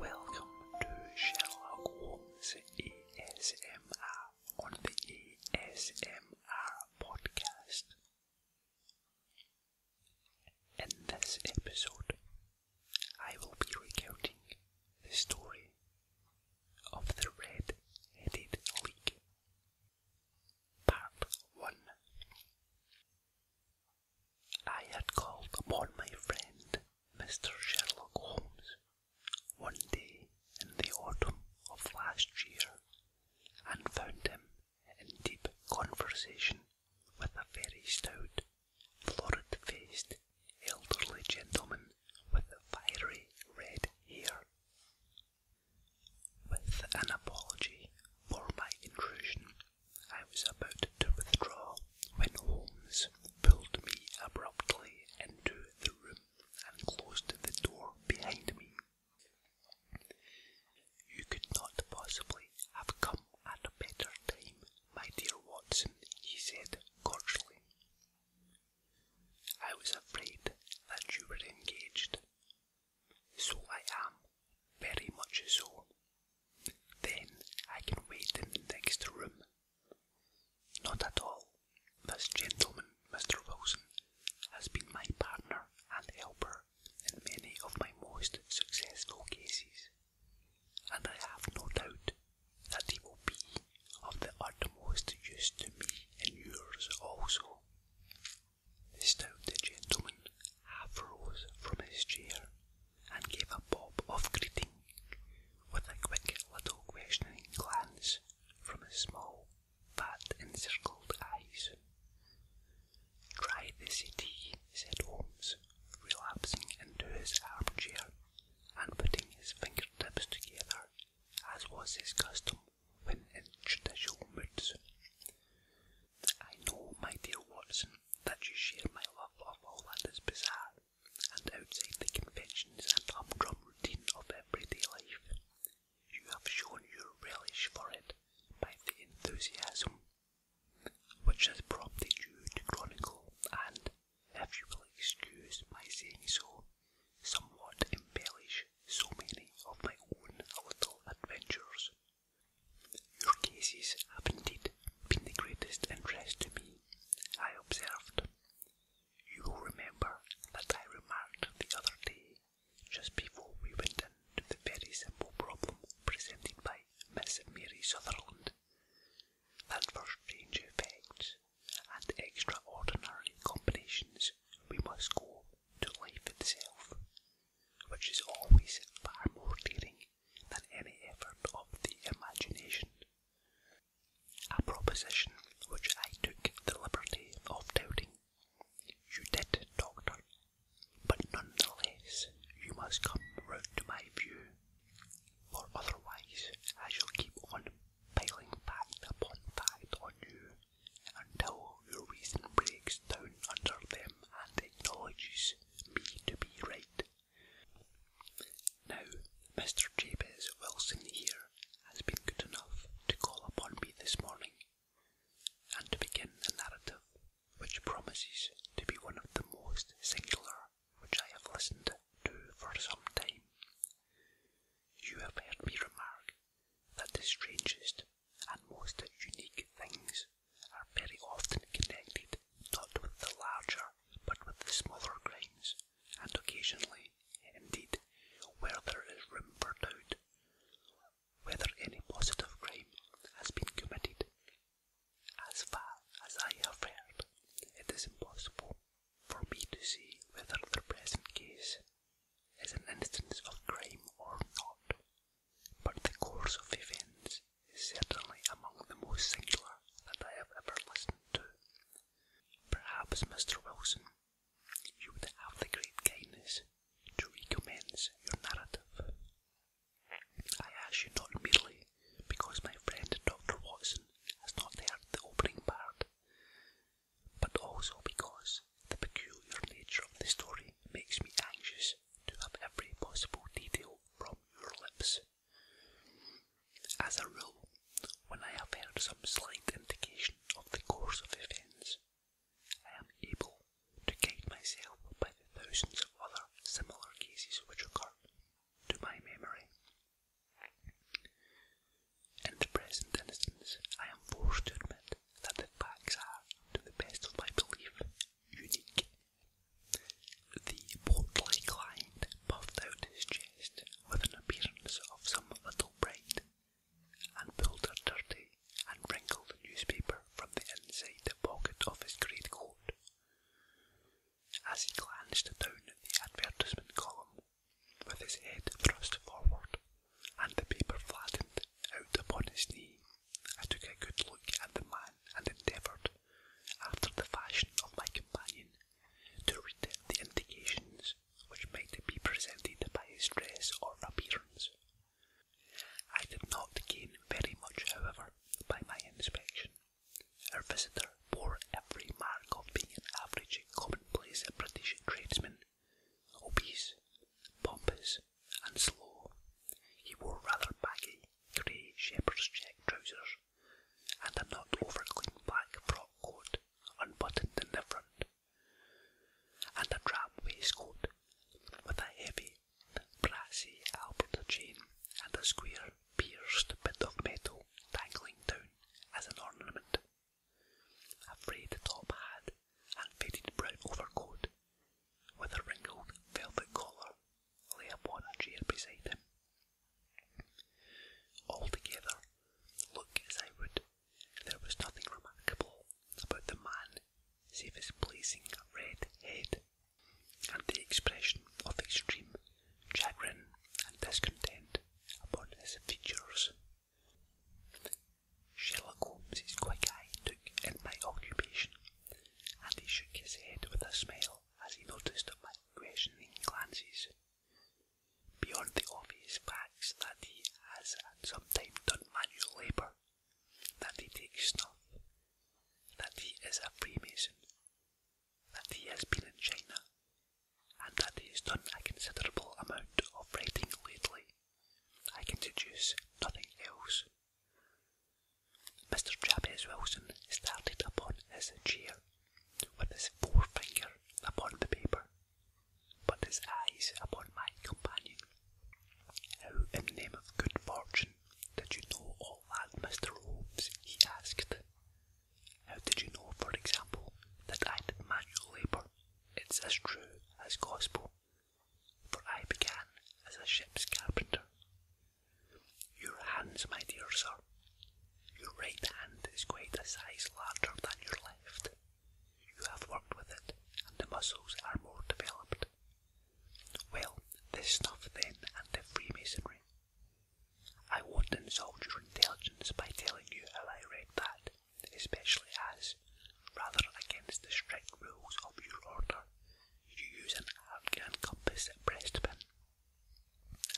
Welcome to Sherlock Holmes ESMR on the ESMR podcast. In this episode, I will be recounting the story of the Red Headed League. Part 1 I had called upon my friend Mr. Sherlock Holmes one day in the autumn of last year and found him in deep conversation with a very stout, florid faced, elderly gentleman with fiery red hair. With an apology for my intrusion, I was about to withdraw when Holmes pulled me abruptly into the room and closed the door behind me. You could not possibly have come at a better time, my dear Watson, he said cordially. I was afraid that you were engaged. So I am, very much so, then I can wait in the next room. Not at all. This gentleman, Mr. Rosen, has been my partner and helper in many of my most successful cases, and I have no doubt that he will be of the utmost use to me and yours also. The gentleman half rose from his chair and gave a bob of greeting with a quick little questioning glance from his small, fat, encircled eyes. Try the city," said Holmes, relapsing into his armchair and putting his fingertips together, as was his custom when in judicial moods. I know, my dear Watson, that you share my love of all that is bizarre and outside the conventions and humdrum routine of everyday life. You have shown your relish for it by the enthusiasm which has prompted you to chronicle and, if you will excuse my saying so, somewhat embellish so many of my own little adventures. Your cases have indeed been the greatest interest to me, I observed. You will remember that I remarked the other day, just before we went into the very simple problem presented by Miss Mary Sutherland, that for strange effects and extraordinary combinations we must go to life itself, which is always far more daring than any effort of the imagination. A proposition which I took the liberty of doubting. You did, Doctor, but nonetheless you must come round to my view, for otherwise I shall keep on piling fact upon fact on you until your reason breaks down under them and acknowledges me to be right. Now, Mr. Jabez Wilson here has been good enough to call upon me this morning and to begin a narrative which promises to be one of the most singular which I have listened to for some time. You have heard me remark that the strangest and most unique things are very often connected not with the larger but with the smaller crimes, and occasionally, indeed, where there is room for doubt, whether any positive crime has been committed. As far as I have heard, it is impossible for me to see whether the present case is an instance of crime or not but the course of events is certainly among the most singular that I have ever listened to. Perhaps, Mr. Wilson, you would have the great kindness to recommence your narrative. I ask you not merely because my friend Dr. Watson has not heard the opening part, but also because the peculiar nature of the story makes me anxious to have every possible detail from your lips. As a rule, when I have heard some slight indication of the course of events, I am able to guide myself by the thousands of other similar cases which occur to my memory. In the present instance, I am forced to admit that the facts are, to the best of my belief, unique the portly client puffed out his chest with an appearance of some little pride, and pulled a dirty and wrinkled newspaper from the inside pocket of his great coat. As he glanced down at the advertisement column, with his head thrust forward and the paper flattened out upon his knee, I took a good look at the man and endeavoured, after the fashion of my companion, to read the indications which might be presented by his dress or appearance. I did not gain very much, however, by my inspection. Our visitor bore every mark of being an average, commonplace British tradesman, obese, pompous, and slow. He wore rather baggy grey shepherd's check trousers and a not over clean black frock coat unbuttoned in the front, and a drab waistcoat with a heavy, brassy Albert chain and a square, pierced bit of metal dangling down as an ornament. A frayed top hat and faded brown overcoat with a wrinkled velvet collar layer 1 and chair beside him. Altogether, look as I would, there was nothing remarkable about the man save his blazing red head and the expression of extreme chagrin and discontent upon his features. Sherlock Holmes's quick eye took in my occupation and he shook his head with a smile as he noticed my questioning glances. Beyond the obvious facts that he has at some time done manual labour, that he takes snuff, that he is a Freemason, that he has been in China, and that he has done a considerable amount of writing lately, I can deduce nothing else. Mr. Jabez Wilson started upon his chair with his forefinger upon the paper, but his eyes upon my companion. How in the name of good fortune did you know all that, Mr. Holmes? he asked. How did you know, for example, that I did manual labour? It's as true as gospel for I began as a ship's carpenter. Your hands, my dear sir, your right hand is quite a size larger than your left. You have worked with it, and the muscles are more developed. Well, this stuff then, and the Freemasonry. I won't insult your intelligence by telling you how I read that, especially as, rather against the strict rules of your order, you use an Afghan compass breast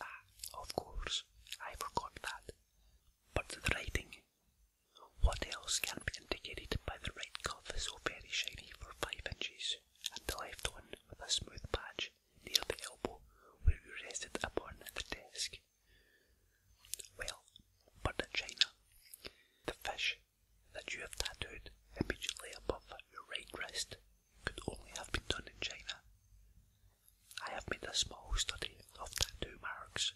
Ah, of course, I forgot that. But the writing. What else can be indicated by the right cuff so very shiny for 5 inches, and the left one with a smooth patch near the elbow where you rested upon the desk? Well, but in China, the fish that you have tattooed immediately above your right wrist could only have been done in China. I have made a small study of tattoo marks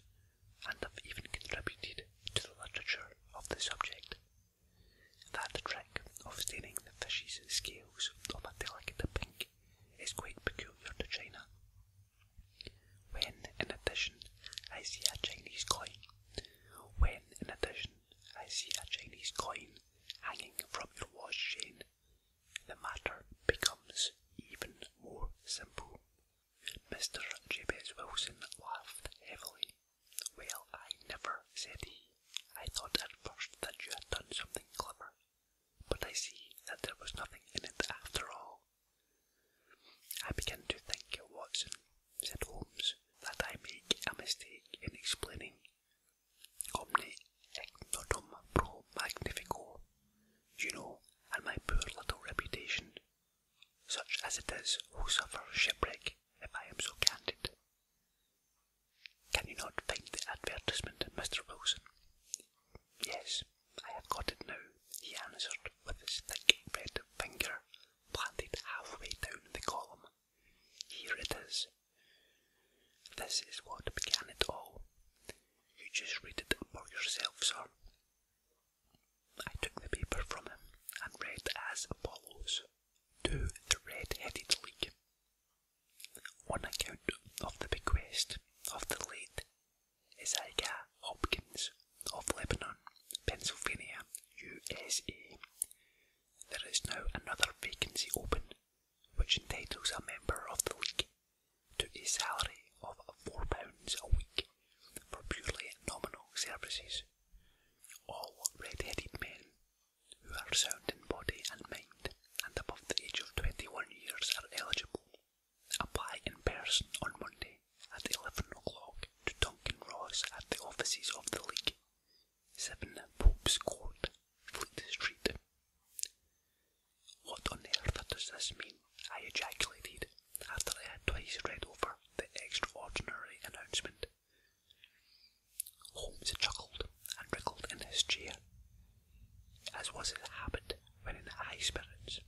and have even contributed to the literature of the subject. That trick of staining the fish's scales of a delicate pink is quite peculiar to China. When, in addition, I see a Chinese coin when, in addition, I see a Chinese coin hanging from your watch chain, the matter becomes even more simple. Mr. Jabez Wilson laughed heavily. Well, I never, said he. I thought at first that you had done something clever, but I see that there was nothing in it after all. I begin to think, Watson, said Holmes, that I make a mistake in explaining omne ignotum pro magnifico, you know, and my poor little reputation, such as it is, who suffer shipwreck if I am so candid. Can you not find the advertisement, Mr. Wilson? Yes, I have got it now, he answered with his thick red finger planted halfway down the column. Here it is. This is what began it all. You just read it for yourself, sir. I took the paper from him and read as follows To the Red Headed League. On account of the bequest of the late Isaiah Hopkins of Lebanon, Pennsylvania, USA. There is now another vacancy open, which entitles a member of the league to a salary of £4 a week for purely nominal services. All red-headed men who are sound in body and mind and above the age of 21 years are eligible. Apply in person on Monday at 11 o'clock to Duncan Ross at the offices of the League, 7 Pope's Court, Fleet Street. What on earth does this mean? I ejaculated after I had twice read over the extraordinary announcement. Holmes chuckled and wriggled in his chair. As was his habit when in high spirits.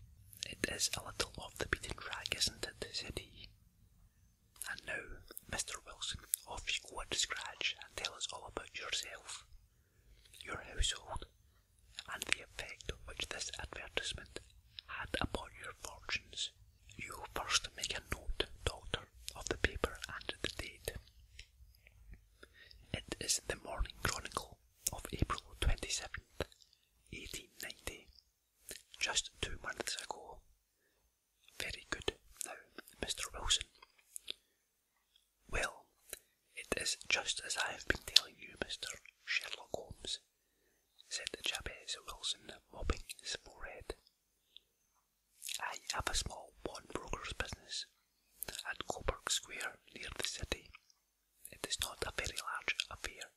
It is a little off the beaten track, isn't it? said he, and now, Mr. Wilson, off you go at the scratch and tell us all about yourself, your household, and the effect which this advertisement had upon your fortunes. You first make a note, daughter, of the paper and the date. It is the Morning Chronicle of April 27th, 1890, just two months ago. Very good. Now, Mr. Wilson. Well, it is just as I have been telling you, Mr. Sherlock Holmes, said the Jabez Wilson, mopping his forehead. I have a small pawnbroker's business at Coburg Square near the city. It is not a very large affair,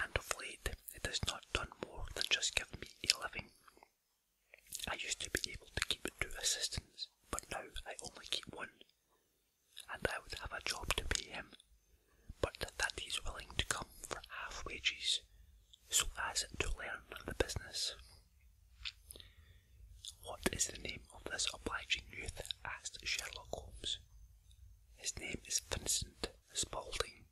and of late it has not done more than just give me a living. I used to be able to keep two assistants, but now I only keep one, and I would have a job to pay him, but that he's willing to come for half wages, so as to learn the business. What is the name of this obliging youth? asked Sherlock Holmes. His name is Vincent, Spalding.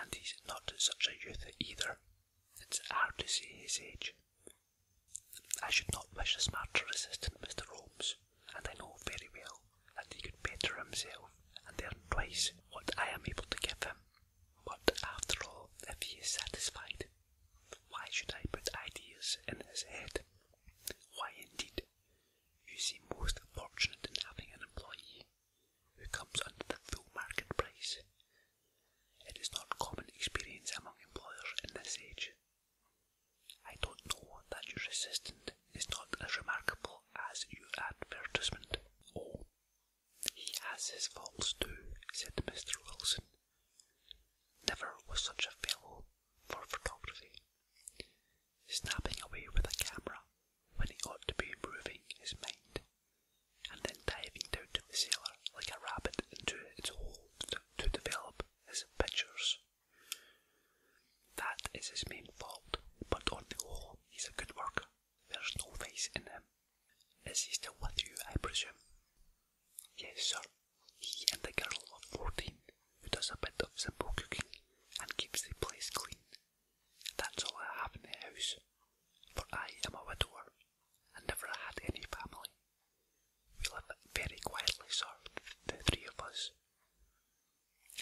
And he's not such a youth either. It's hard to see his age. I should not wish a smarter assistant, Mr. Holmes, and I know very well that he could better himself and earn twice what I am able to give him. But after all, if he is satisfied, why should I put ideas in his head? Why, indeed, you seem most fortunate in having an employee who comes under the full market price. It is not common experience among employers in this age. I don't know that your assistant is not as remarkable as your advertisement. Oh, he has his faults too, said Mr. Wilson. Never was such a fellow for photography snapping away with a camera when he ought to be improving his mind, and then diving down to the cellar like a rabbit into its hole to, develop his pictures. That is his main fault, but on the whole, he's a good worker. There's no face in him. Is he still with you, I presume? Yes, sir. He and the girl of fourteen who does a bit of simple cooking and keeps the place clean. That's all I have in the house, for I am a widower and never had any family. We live very quietly, sir, the three of us,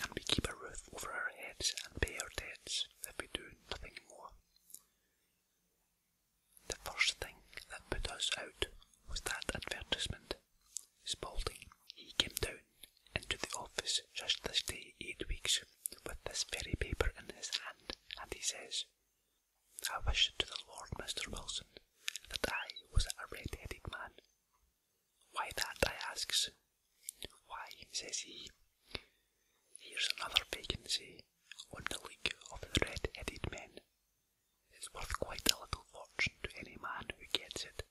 and we keep a roof over our heads and pay our debts if we do nothing more. The first thing that put us out was that advertisement Spalding, he came down into the office just this day eight weeks with this very paper in his hand, and he says, I wish to the Lord, Mr. Wilson, that I was a red-headed man. Why that, I asks. Why, says he, here's another vacancy on the League of the Red-Headed Men. It's worth quite a little fortune to any man who gets it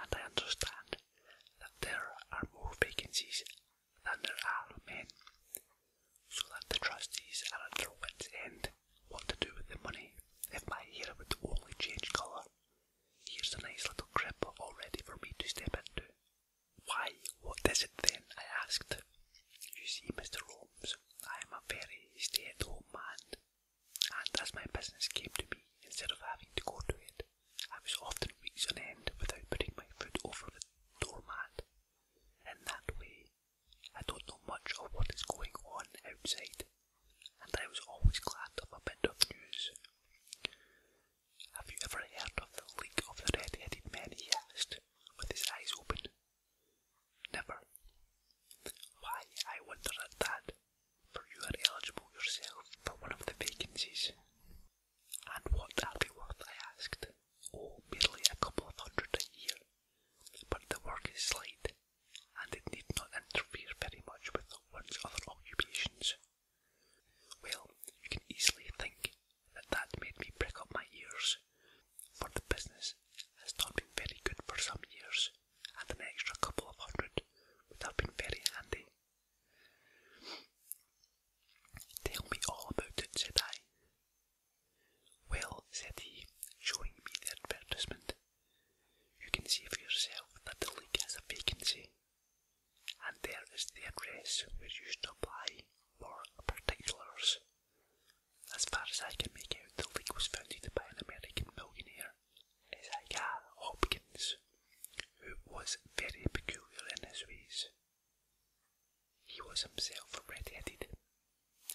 and I understand that there are more vacancies than there are men, so that the trustees are at their wits' end what to do with the money if my hair would only change colour. Here's a nice little crib already for me to step into. Why, what is it then? I asked. You see, Mr. Holmes, I am a very stay-at-home man and as my business came to me instead of having to go to it, I was often weeks on end without putting my foot over the doormat. In that way, I don't know much of what is going on outside, and I was always glad of a bit of news. Have you ever heard of the League of the Red-Headed man? he asked, with his eyes open. Never. Why, I wonder at that but you are eligible yourself for one of the vacancies. And what are they worth? I asked. Oh, merely a couple of hundred a year. But the work is light, and it need not interfere very much with one's other occupations. Well, you can easily think that that made me prick up my ears, for the business has not been very good for some years, and an extra couple of hundred would have been very handy. Tell me all about it, said I. Well, said he, showing me the advertisement, you can see for yourself that the league has a vacancy, and there is the address where you should apply for particulars. As far as I can make out, the league was founded by an American millionaire is Agar Hopkins, who was very peculiar in his ways. He was himself red-headed,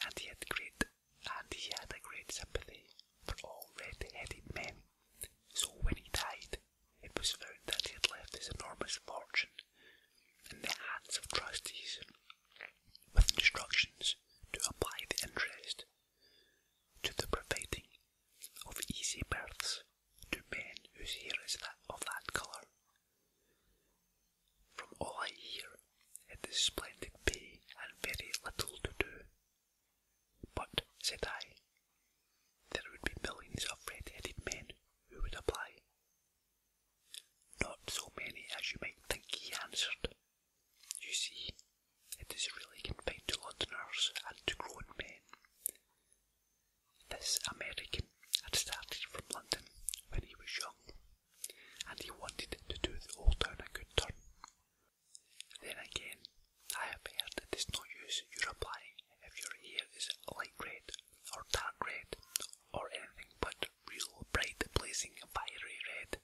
and he had great and he had a great sympathy for all red-headed men. So when he died, it was found that he had left his enormous fortune in the hands of trustees, with instructions to apply the interest to the providing of easy births to men whose hair is that of that colour. From all I hear, it is splendid pay and very little to do. But, said I, there would be millions of red-headed men who would apply. Not so many as you might think, he answered. You see, it is really confined to Londoners and to grown men. This American had started from London when he was young, and he wanted to do the old town a good turn. Then again, I have heard that it is no use your applying if your hair is light red or dark red or anything but real bright blazing fiery red.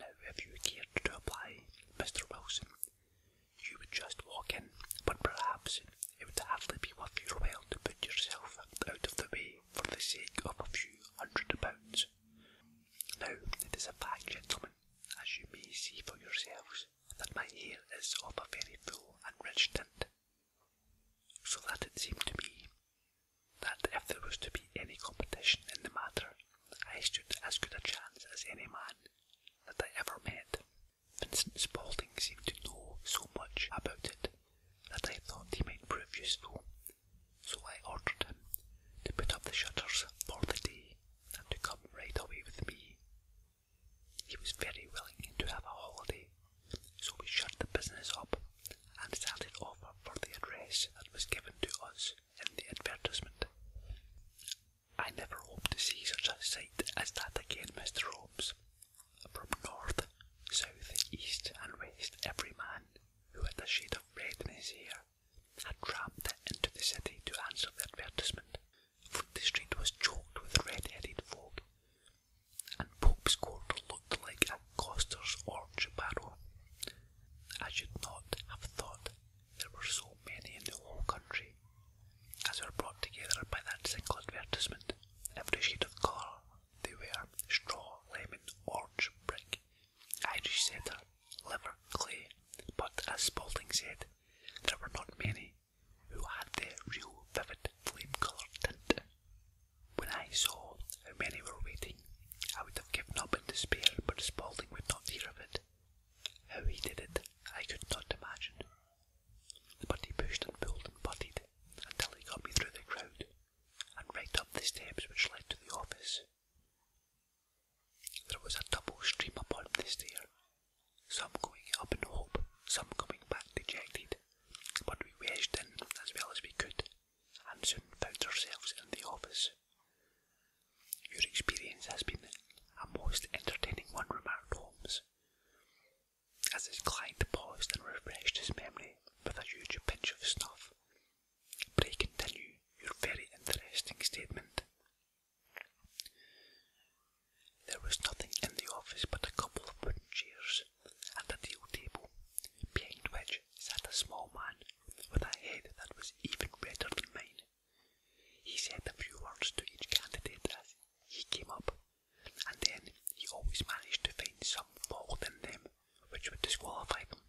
Now, if you cared to apply, Mr. Wilson, you would just walk in, but perhaps it would hardly be worth your while to put yourself out of the way for the sake of a few hundred pounds. Now, it is a fact, gentlemen, as you may see for yourselves, that my hair is of a very full and rich tint, so that it seemed to me that if there was to be any competition in the matter, I stood as good a chance as any man that I ever met. Vincent Spaulding seemed to know so much about it that I thought he might prove useful, so I ordered him to put up the shutters for the day and to come right away with me. He was very willing to have a holiday, so we shut the business up and started offer for the address that was given to us in the advertisement. I never hope to see such a sight as that again, Mr. Holmes. From north, south, east, and west, every man who had a shade of red in his hair had tramped into the city to answer the advertisement, the street was choked with red-headed folk, and Pope's Court looked like a Costers or orange I should not have thought there were so many in the whole country, as were brought together by that single advertisement. Every sheet of colour they were straw, lemon, orange, brick, Irish setter, liver, clay, but as Spalding said, there were not many who had the real vivid flame coloured tint. When I saw how many were waiting, I would have given up in despair, but Spaulding would not hear of it. How he did it, I could not imagine. But he pushed and pulled and butted until he got me through the crowd and right up the steps which led to the office. There was a double stream upon this stair, some going up in hope, some coming back dejected, but we wedged in as well as we could and soon found ourselves in the office. Your experience has been a most entertaining one, remarked Holmes, as his client paused and refreshed his memory with a huge pinch of snuff. Pray continue your very interesting statement. There was nothing in the office but a couple of wooden chairs and a deal table, behind which sat a small man with a head that was even redder than mine. He said a few words to each candidate as he came up, and then he always managed to find some fault in them which would disqualify them.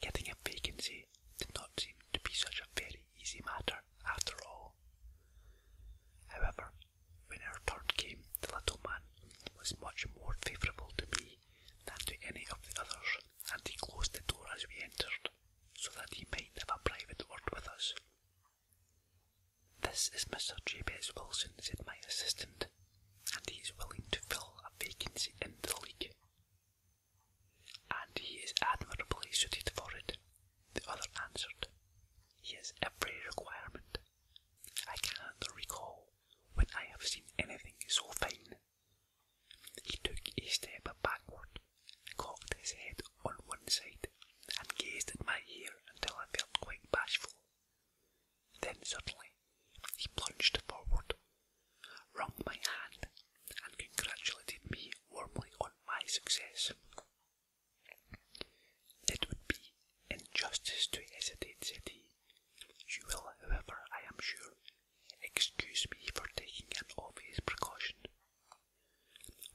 Getting a vacancy did not seem to be such a very easy matter after all. However, when our turn came, the little man was much more favourable to me than to any of the others, and he closed the door as we entered, so that he might have a private word with us. This is Mr. Jabez Wilson, said my assistant, and he is willing to fill a vacancy in the league. And he is admirably suited for it, the other answered. He has every requirement. I cannot recall when I have seen anything so fine. He took a step backward, cocked his head on one side, and gazed at my ear until I felt quite bashful. Then suddenly he plunged forward, wrung my hand, and congratulated me warmly on my success. It would be in justice to hesitate, said he, you will, however, I am sure, excuse me for taking an obvious precaution.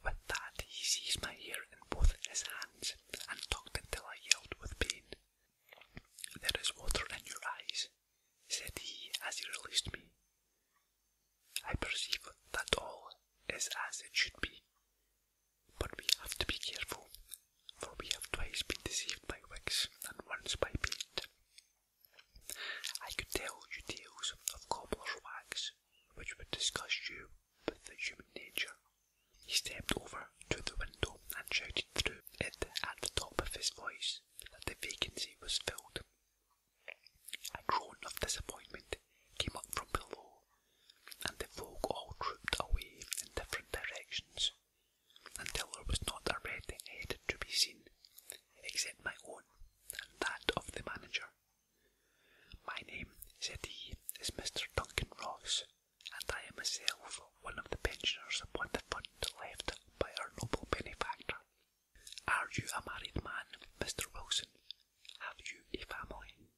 With that, he seized my hair in both his hands and tugged until I yelled with pain. There is water in your eyes, said he as he released me. I perceive that all is as it should be, but we have to be careful for we have twice been deceived by Wicks and once by paint. I could tell you tales of cobbler's wax which would disgust you with the human nature. He stepped over to the window and shouted through it at the top of his voice that the vacancy was filled. A groan of disappointment came up from below, and the folk all trooped away in different directions until there was not a red head to be seen, except my own and that of the manager. My name, said he, is Mr. Duncan Ross, and I am myself one of the pensioners upon the fund left by our noble benefactor. Are you a married man, Mr. Wilson? Have you a family?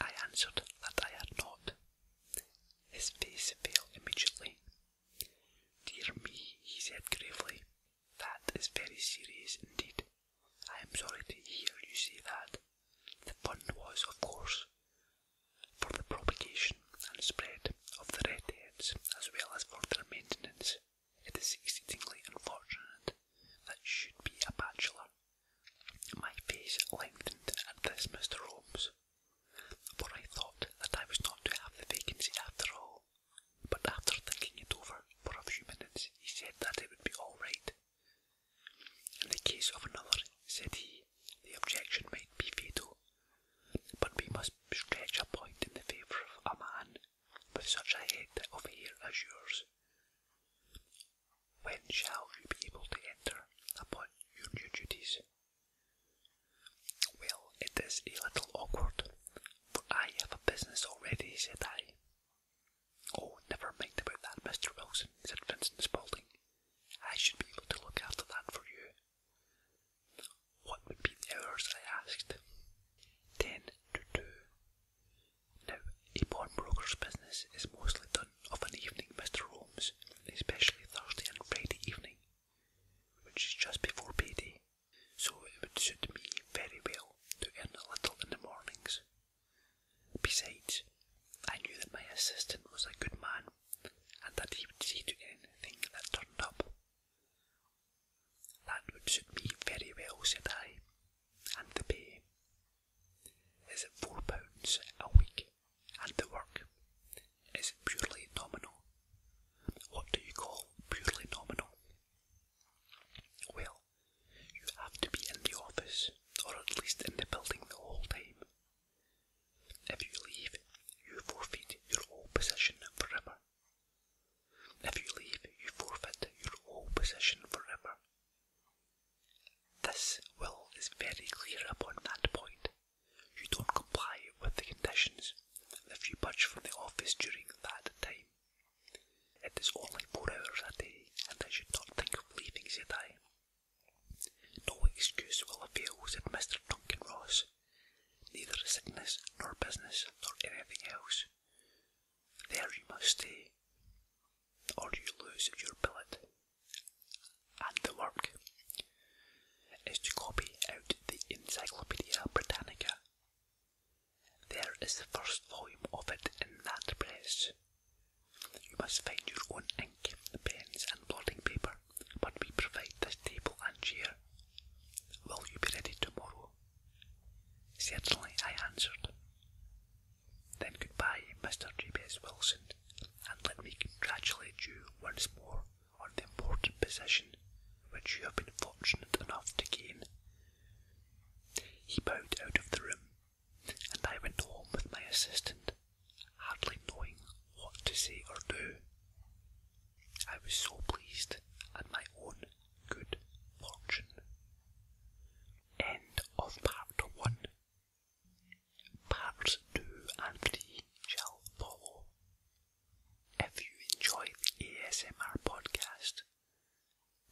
I answered that I had not. His face fell immediately. Dear me, he said gravely, that is very serious indeed. I am sorry to hear you say that. The fund was, of course, for the propagation and spread of the redheads as well as for their maintenance. It is exceedingly unfortunate that you should be a bachelor my face lengthened at this, Mr. Holmes, for I thought that I was not to have the vacancy after all. But after thinking it over for a few minutes, he said that it would be all right. In the case of another, said he, the objection might be fatal, but we must stretch a point in the favour of a man with such a head of hair as yours. When shall you be able to enter upon your new duties? Well, it is a little awkward, for I have a business already, said I. Oh, never mind about that, Mr. Wilson, said Vincent Spaulding. I should be able to look after that for you. What would be the hours? I asked. Ten to two. Now, a pawnbroker's business is mostly done of an evening, Mr. Holmes, especially Thursday and Friday evening, which is just before payday, so it would suit me very well to earn a little in the mornings. Besides, I knew that my assistant was a good man, and that he would see to anything that turned up. That would suit me very well, said I, and the pay, is at £4 a week, and the work is purely nominal. What do you call purely nominal? Well, you have to be in the office, or at least in the building the whole time. If you leave, you forfeit your whole position forever. If you leave, you forfeit your whole position forever. This will is very clear upon that point. You don't comply with the conditions if you budge from the office during that time. It is only four hours a day, and I should not think of leaving, said time. No excuse will avail, said Mr. Duncan Ross. Neither sickness, nor business, nor anything else. There you must stay or you lose your billet. And the work is to copy out the Encyclopedia Britannica. There is the first volume of it in that place. You must find your own ink, pens, and blotting paper, but we provide the table and chair. Will you be ready tomorrow? Certainly, I answered. Then good bye, Mr. Jabez Wilson, and let me congratulate you once more on the important position which you have been fortunate enough to gain. He bowed out of the room, and I went home with my assistant, hardly knowing what to say or do. I was so pleased at my own good fortune. End of part one. Parts 2 and 3 shall follow. If you enjoy the ASMR podcast,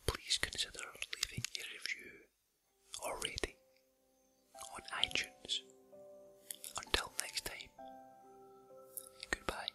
please consider leaving a review or rating on iTunes. Until next time, goodbye.